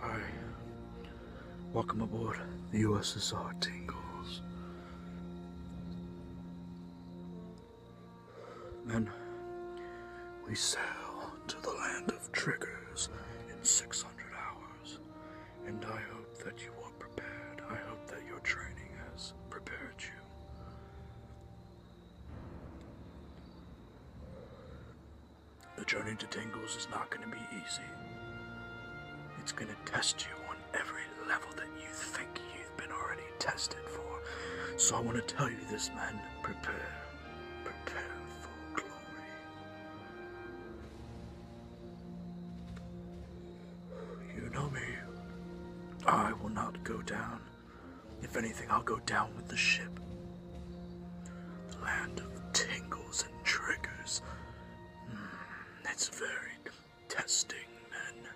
Hi. Welcome aboard the USSR Tingles. Then we sail to the land of triggers in 600 hours and I hope that you are prepared. I hope that your training has prepared you. The journey to Tingles is not going to be easy. It's going to test you on every level that you think you've been already tested for. So I want to tell you this, man prepare. Prepare for glory. You know me. I will not go down. If anything, I'll go down with the ship. The land of tingles and triggers. Hmm, it's very testing, men.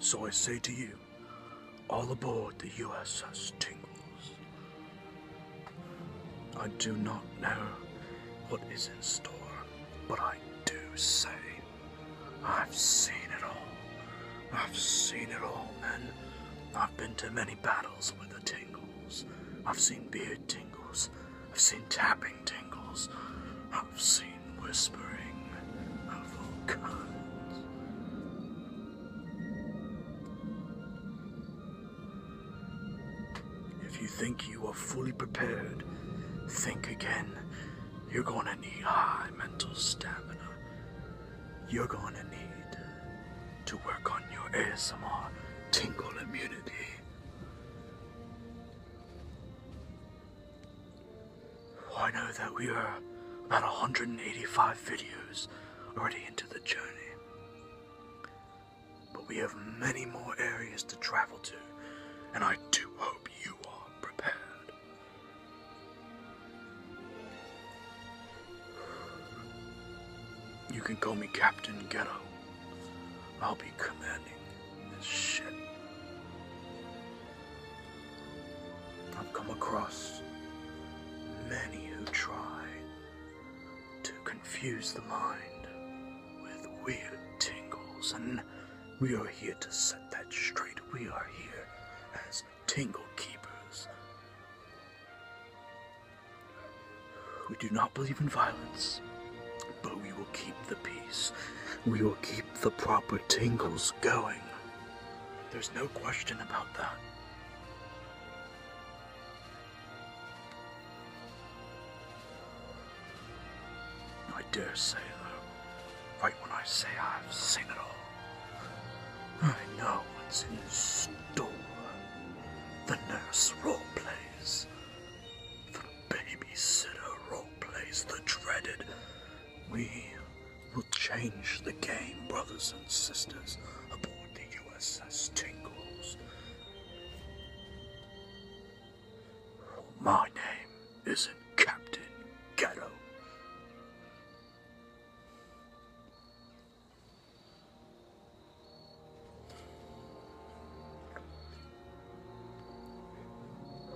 So I say to you, all aboard the USS Tingles. I do not know what is in store, but I do say I've seen it all. I've seen it all, men. I've been to many battles with the Tingles. I've seen beard tingles. I've seen tapping tingles. I've seen whispering of all kinds. If you think you are fully prepared, think again. You're gonna need high mental stamina. You're gonna need to work on your ASMR tingle immunity. I know that we are about 185 videos already into the journey. But we have many more areas to travel to, and I do hope you are prepared. You can call me Captain Ghetto. I'll be commanding this ship. I've come across many who try to confuse the mind with weird tingles, and we are here to set that straight. We are here as tingle keepers. We do not believe in violence, but we will keep the peace. We will keep the proper tingles going. There's no question about that. I dare say, though, right when I say I've seen it all, I know what's in store. The nurse role plays, the babysitter role plays, the dreaded we will change the game, brothers and sisters, aboard the USS Tingles. My name isn't Captain Ghetto.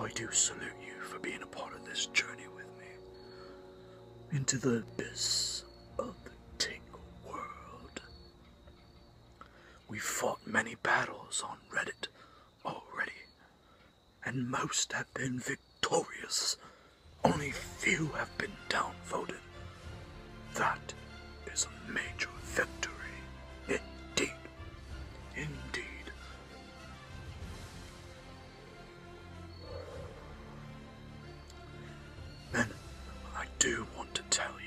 I do salute you for being a part of this journey with me into the abyss of the Tingle world. We've fought many battles on Reddit already, and most have been victorious. Only few have been downvoted. That is a major victory. Indeed. Indeed. Then, I do want to tell you.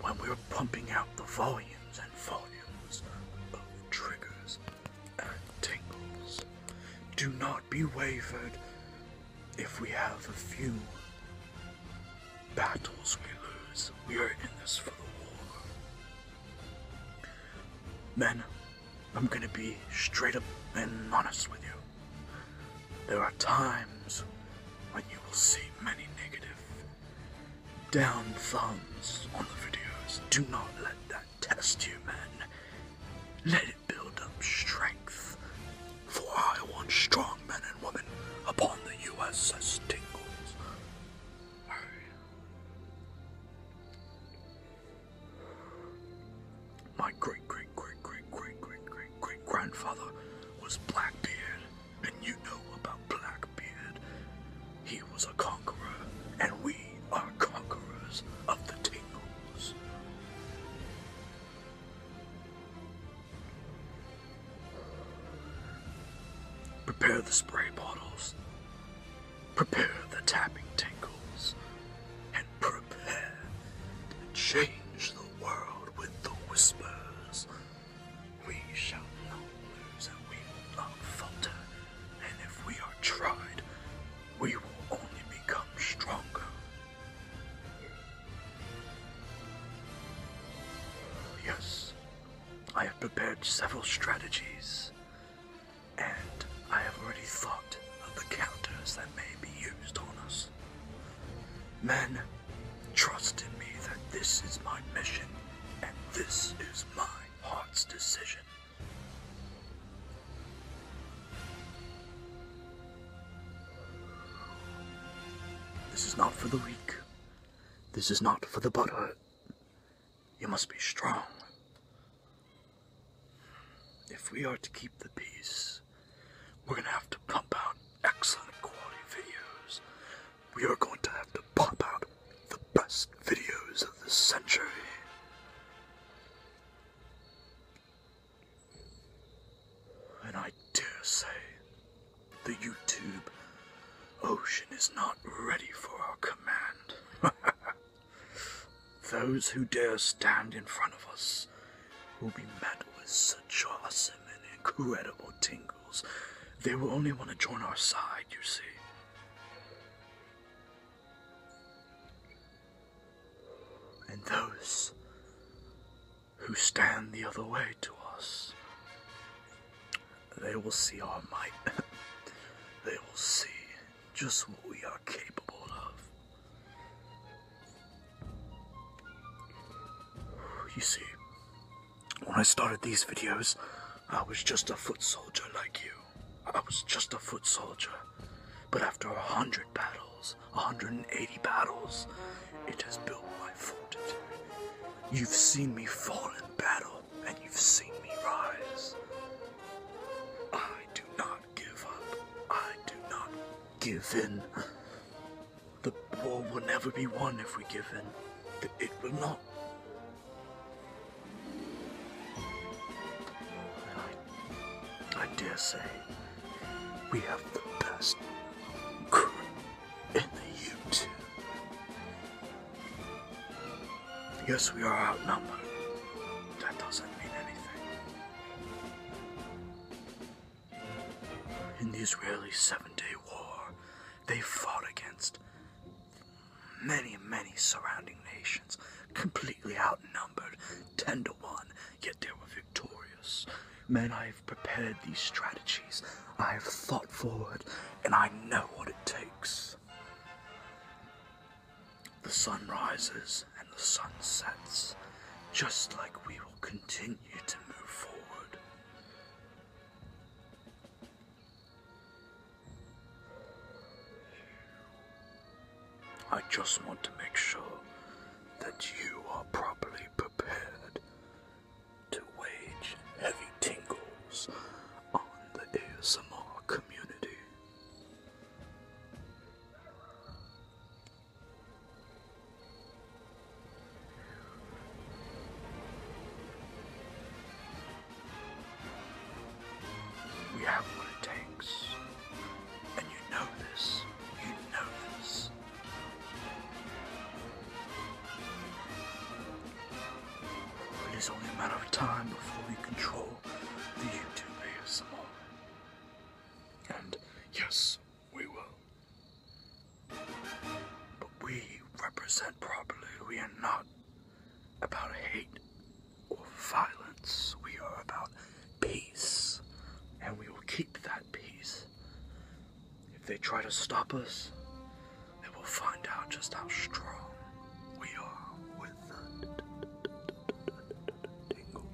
When we were pumping out the volumes and volumes of triggers and tingles, do not be wavered if we have a few battles we lose, we are in this for the war. Men, I'm gonna be straight up and honest with you. There are times when you will see many negative down thumbs on the videos. Do not let that test you, men. Let it build up strength. For I want strong men and women upon the USS Tingles. My great great great great great great great grandfather was Blackbeard, and you know about Blackbeard. He was a conqueror, and we are conquerors of the Tingles. Prepare the spray bottles. Prepare the tapping tinkles. And prepare to change the world with the whispers. We shall not lose and we will not falter. And if we are tried, we will only become stronger. Yes, I have prepared several strategies, and I have already thought of the counters that may be used on us. Men, trust in me that this is my mission, and this is my heart's decision. This is not for the weak. This is not for the butthurt. You must be strong. If we are to keep the peace, we're gonna have to pump out excellent quality videos. We are going to have to pump out the best videos of the century. And I dare say the YouTube ocean is not ready for our command. Those who dare stand in front of us will be met with such awesome and incredible tingles. They will only want to join our side, you see and those who stand the other way to us. They will see our might. they will see just what we are capable of. You see, when I started these videos, I was just a foot soldier like you. I was just a foot soldier but after a hundred battles, 180 battles, it has built my fortitude. You've seen me fall in battle, and you've seen me rise. I do not give up. I do not give in. The war will never be won if we give in. It will not. I dare say we have the best crew in the YouTube. Yes, we are outnumbered. That doesn't mean anything. In the Israeli Seven Day War, they fought against many, many surrounding nations, outnumbered, ten to one, yet they were victorious. Men, I have prepared these strategies, I have thought forward, and I know what it takes. The sun rises and the sun sets, just like we will continue to move forward. I just want to make sure that you are properly prepared to wage heavy tingles on the ASMR community. We have what it takes. And you know this. You know this. It is only a matter of time before we control the YouTube ASMR. And yes, we will. But we represent properly. We are not about hate or violence. We are about peace, and we will keep that peace. If they try to stop us, they will find out just how strong we are with the tingles.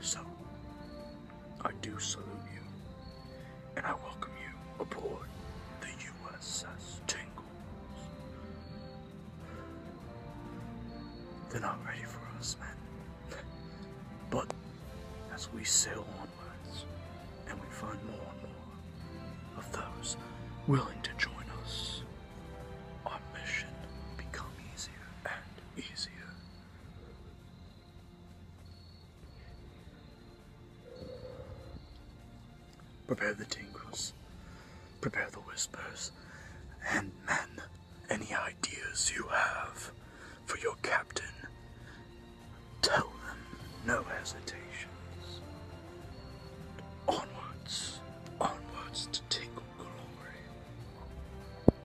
So, I do salute you, and I welcome you aboard the USS Tingles. They're not ready for us, men. But as we sail onwards, and we find more and more of those willing to join us, our mission become easier and easier. Prepare the tingles, prepare the whispers, and men, any ideas you have for your captain, tell them no hesitations. Onwards, onwards to tingle glory.